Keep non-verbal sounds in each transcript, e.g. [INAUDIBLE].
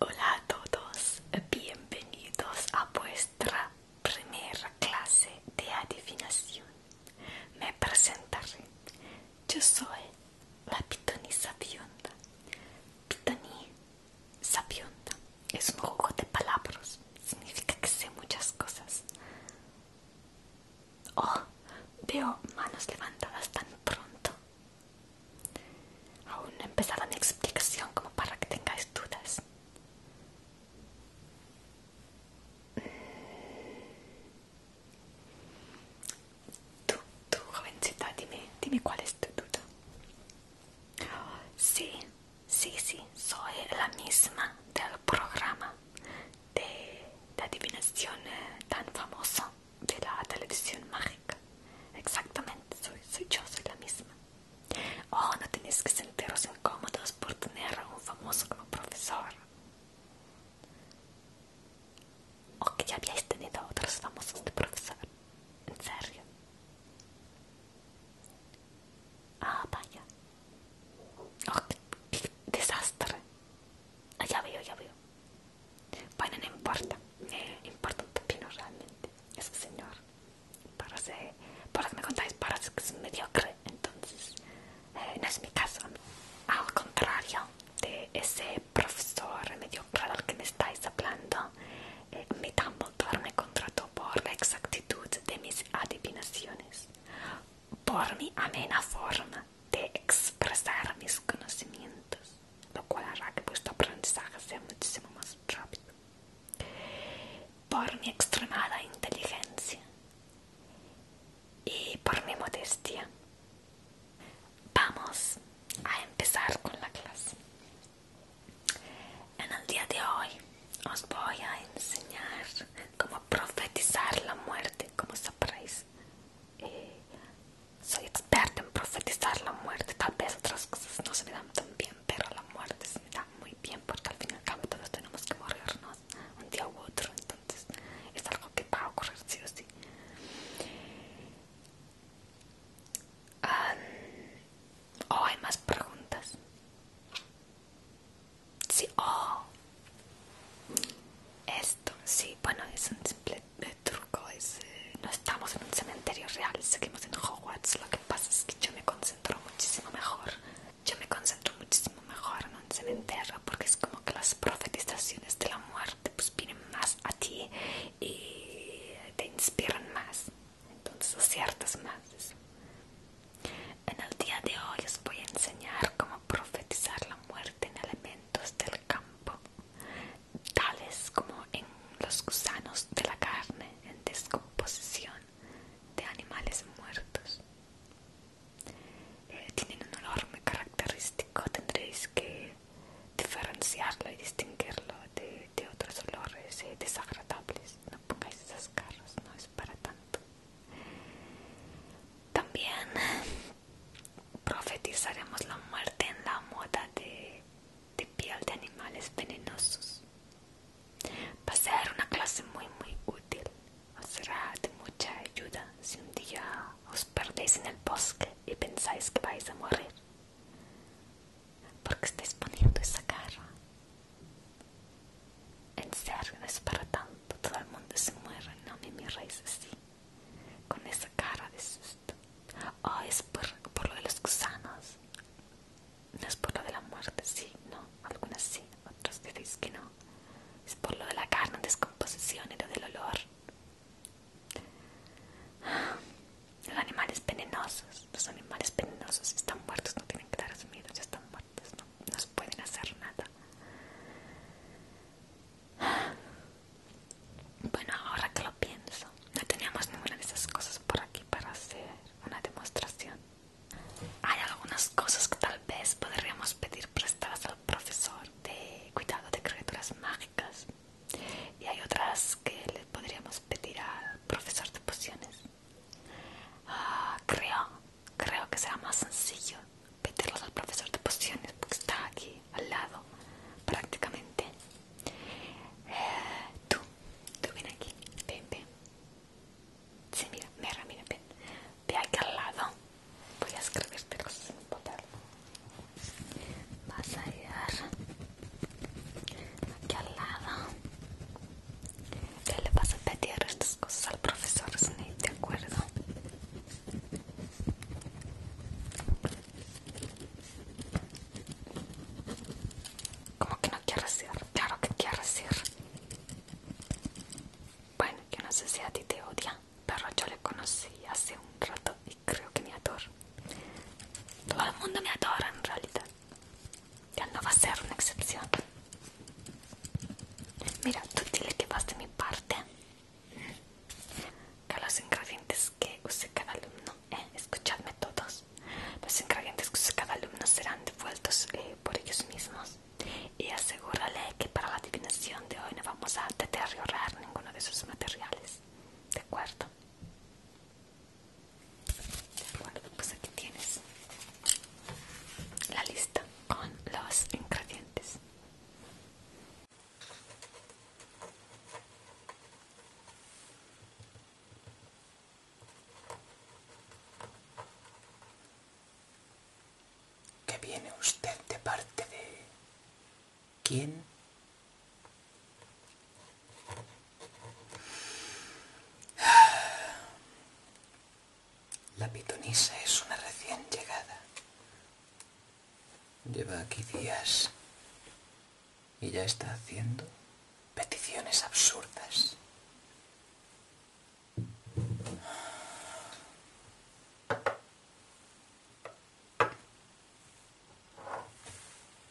Hola a todos, bienvenidos a vuestra primera clase de adivinación. Me presentaré. Yo soy la pitonisa sabionda. Pitoní sabionda es un juego de palabras, significa que sé muchas cosas. Oh, veo manos levantadas tan pronto. Aún no he empezado mi explicación como para que tengáis dudas. Mm. Tú, tú, jovencita, dime, cuál es tu duda. Sí, sí, sí, soy la misma del programa de, de adivinación eh, tan famoso de la televisión mágica. Exactamente, soy, yo, soy la misma. Oh, no tenéis que sentiros incómodos por tener a un famoso como profesor. O que ya habíais tenido otros famosos de profesor. En serio. Ah, vaya. Oh, desastre. Ah, ya veo, ya veo. Bueno, no importa, me eh, importa un pepino realmente ese señor. Parece, por lo que me contáis, parece que es mediocre, entonces eh, no es mi caso. Al contrario de ese profesor mediocre al que me estáis hablando, eh, da un montón me contrató por la exactitud de mis adivinaciones por mi amena forma de expresar mis conocimientos, lo cual hará que vuestro aprendizaje sea muchísimo más rápido. Por mi extremada inteligencia y por mi modestia. Vamos a empezar con la clase. En el día de hoy os voy a enseñar como profetizar la muerte, como sabréis. Eh, soy experta en profetizar la muerte, tal vez otras cosas no se me dan tan bien, pero la muerte se me da muy bien porque al fin y al cabo todos tenemos que morirnos un día u otro, entonces es algo que va a ocurrir sí o sí. Ah, oh, hay más preguntas? Sí, oh. Esto, sí, bueno, es un simple eh, truco. Eh, no estamos en un cementerio real, seguimos en Hogwarts. Lo que pasa es que yo me concentro muchísimo mejor. Yo me concentro muchísimo mejor en un cementerio porque es como que las profetizaciones de la muerte pues vienen más a ti y te inspiran más. Entonces aciertas más. En el día de hoy os voy a enseñar cómo profetizar la muerte en elementos del campo, tales como en los gusanos de la carne en descomposición de animales muertos. Eh, tienen un olor muy característico, tendréis que diferenciarlo y distinguirlo de, otros olores eh, desagradables. No pongáis esas caras, no es para tanto. También profetizaremos la muerte en la moda de, piel de animales venenosos. Va a ser una clase muy muy útil. Os será de mucha ayuda si un día os perdéis en el bosque y pensáis que vais a morir. Porque estáis poniendo esa cara. En serio, no es para tanto. Todo el mundo se muere, no me raíz así. Con esa cara de susto. Oh, es por, lo de los gusanos. No es por lo de la muerte, sí, no. Algunas sí, otras decís que no. Es por lo de la carne descomposición y lo del olor. Ah, los animales venenosos, los animales venenosos están muertos, no tienen que dar miedo, ya están muertos, no nos pueden hacer nada. Bueno, ahora que lo pienso, no teníamos ninguna de esas cosas por aquí para hacer una demostración. Hay algunas cosas que tal vez podríamos pedir prestadas al profesor de cuidado de criaturas mágicas y hay otras que le podríamos pedir al profesor de pociones. Ah, creo, creo que será más sencillo pedirlos al profesor de pociones porque está aquí al lado prácticamente. Eh, tú, tú ven aquí, ven, ven. Sí, mira, mira, mira, ven. Ve aquí al lado. Voy a escribirte cosas sin poderlo Vas a ir aquí al lado te le vas a pedir estas cosas al profesor Snape, ¿de acuerdo? Como que no quiere ir, claro que quiere decir. Bueno, yo no sé si a ti te odia, pero yo le conocí hace un rato y creo que me adora. Todo el mundo me adora en realidad. Ya no va a ser una excepción. Mira, tú dile que vas de mi parte. Que los ingredientes que use cada alumno, eh, escuchadme todos, los ingredientes que use cada alumno serán devueltos eh, por ellos mismos. Y asegúrale que para la adivinación de hoy no vamos a deteriorar ninguno de sus materiales. ¿De acuerdo? Bueno, pues tienes la lista con los ingredientes. ¿Que viene usted de parte de quién? La pitonisa es una recién llegada. Lleva aquí días y ya está haciendo peticiones absurdas.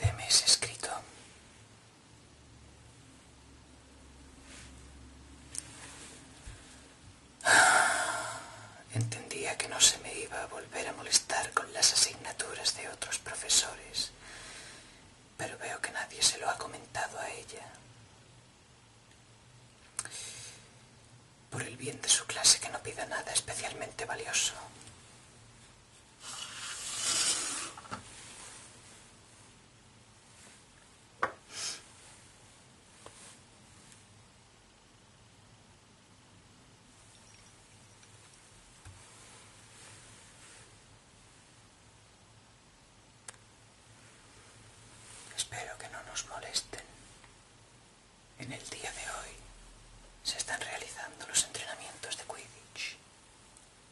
Deme ese escrito [SIGHS] Entendía que no se me iba a volver a molestar con las asignaturas de otros profesores, pero veo que nadie se lo ha comentado a ella. Por el bien de su clase que no pida nada especialmente valioso. Espero que no nos molesten. En el día de hoy se están realizando los entrenamientos de Quidditch.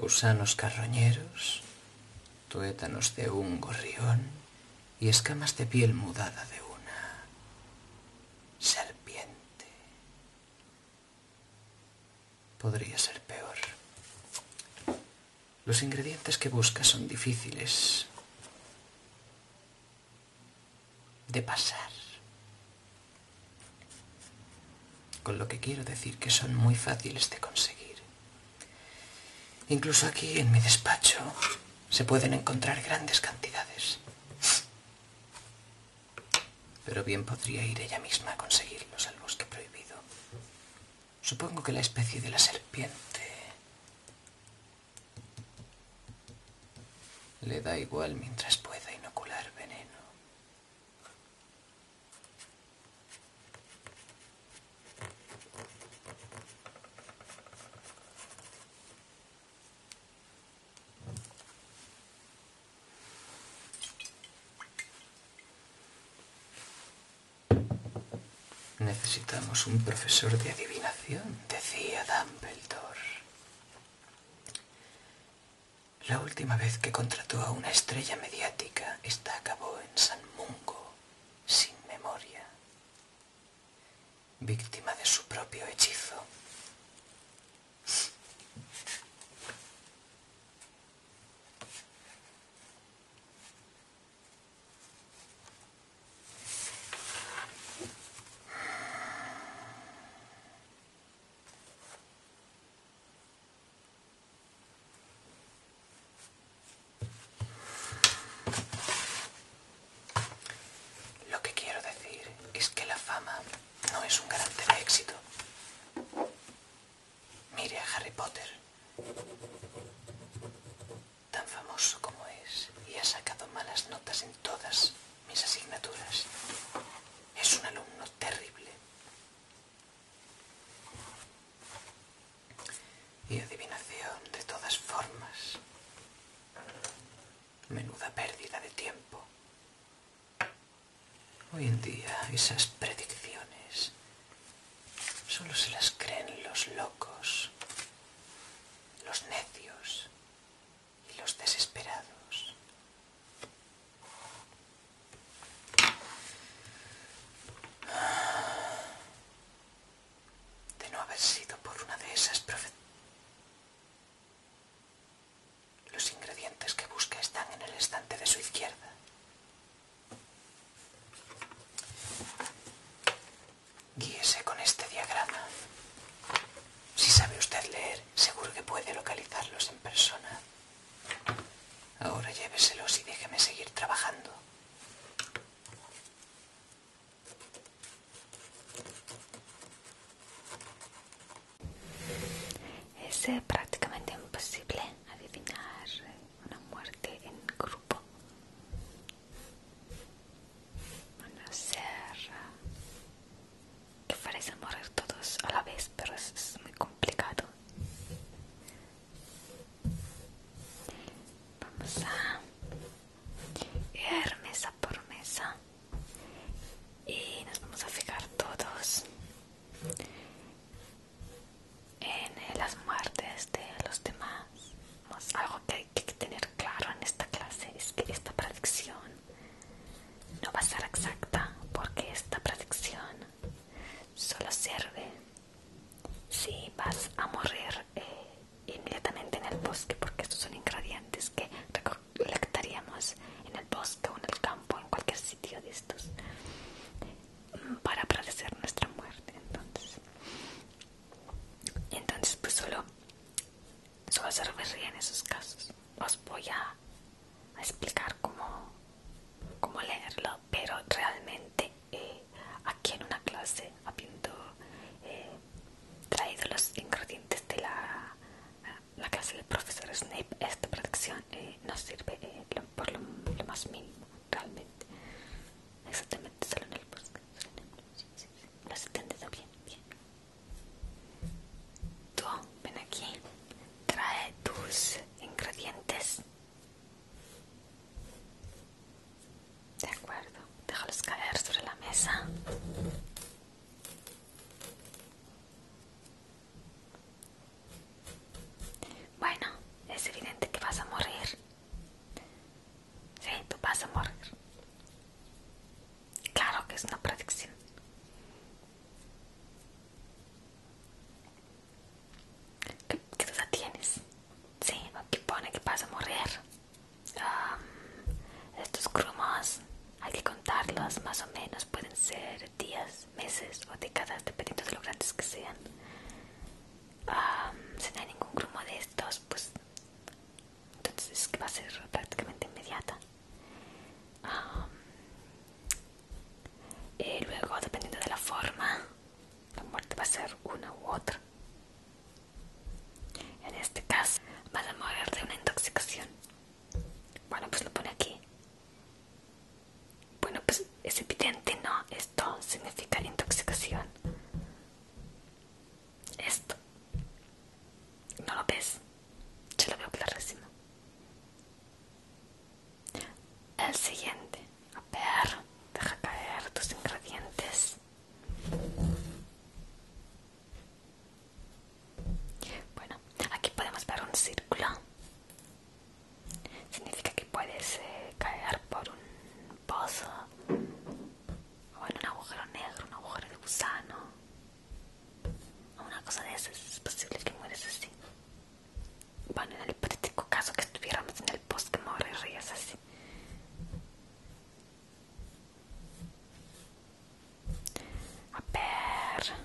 gusanos carroñeros, tuétanos de un gorrión y escamas de piel mudada de una serpiente. Podría ser peor. Los ingredientes que buscas son difíciles, de pasar. Con lo que quiero decir que son muy fáciles de conseguir. Incluso aquí en mi despacho se pueden encontrar grandes cantidades. Pero bien podría ir ella misma a conseguirlos al bosque prohibido. Supongo que la especie de la serpiente le da igual mientras pueda inocular veneno. Necesitamos un profesor de adivinación, decía Dumbledore. La última vez que contrató a una estrella mediática, esta acabó en San Mungo, sin memoria, víctima de su propio hechizo. Lo que quiero decir es que la fama no es un garante de éxito. Mire a Harry Potter tan famoso como es y ha sacado malas notas en todas mis asignaturas. Es un alumno terrible. Y adivinación de todas formas. Menuda pérdida de tiempo. Hoy en día esas predicciones solo se las creen los locos los necios y los desesperados. De no haber sido por una de esas profe los ingredientes que busca están en el estante de su izquierda. Guíese con este diagrama. Si sabe usted leer, seguro que puede localizarlos en persona. Ahora lléveselos y déjeme seguir trabajando. Es eh, prácticamente imposible adivinar una muerte en grupo una ser... Eh, que parece morir todos a la vez pero eso es muy complicado vamos a ir mesa por mesa y nos vamos a fijar todos en eh, las muertes de los demás. Algo que hay que tener claro en esta clase es que esta predicción no va a ser exacta porque esta predicción solo sirve si vas a morir eh, inmediatamente en el bosque porque estos son ingredientes que recolectaríamos en el bosque o en el campo, en cualquier sitio de estos para padecer nuestra muerte entonces entonces pues solo solo se en esos casos os voy a, explicar cómo, leerlo pero realmente eh, aquí en una clase habiendo eh, traído los ingredientes de la, la clase del profesor Snape esta protección eh, nos sirve por lo más mínimo realmente Exactamente, solo en el bosque. Solo en el ¿Lo has entendido bien? Bien. Tú, ven aquí. Trae tus ingredientes. De acuerdo. Déjalos caer sobre la mesa. Bueno, es evidente que vas a morir. Sí, tú vas a morir. Claro que es una predicción. ¿Qué, duda tienes? Sí, aquí pone que vas a morir. estos grumos, hay que contarlos más o menos. Pueden ser días, meses o décadas, dependiendo de lo grandes que sean si no hay ningún grumo de estos pues entonces que va a ser prácticamente inmediata y luego dependiendo de la forma la muerte va a ser una u otra en este caso van a morir de una intoxicación bueno pues lo pone aquí bueno, pues es evidente, ¿no? Esto significa intoxicación. Esto. ¿No lo ves? Yo lo veo clarísimo. El siguiente. A ver, deja caer tus ingredientes. Bueno, aquí podemos ver un círculo Significa que puedes eh, caer por un pozo o en un agujero negro, un agujero de gusano o una cosa de esas. Es posible que mueres así. Bueno, en el hipotético caso que estuviéramos en el bosque, morirías así. A ver.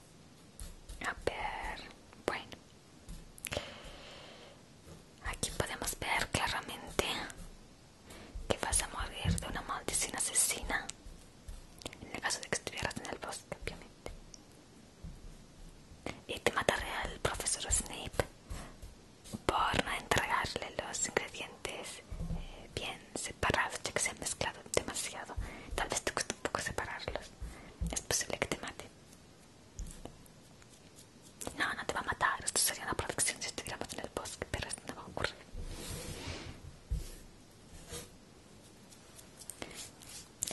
A ver, bueno. Aquí podemos ver claramente que vas a morir de una maldición asesina. En el caso de que estuvieras en el bosque, obviamente. Y te mataré al profesor Snape por no entregarle los ingredientes eh, bien separados, ya que se han mezclado demasiado. Tal vez te cueste un poco separarlos. Es posible que te mate. No, no te va a matar. Esto sería una protección si estuviéramos en el bosque, pero esto no va a ocurrir.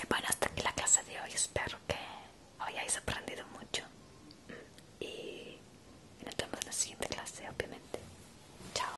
Eh, bueno, hasta aquí la clase de hoy. Espero que hoy hayáis aprendido mucho. Y nos vemos en la siguiente clase, obviamente. Chao.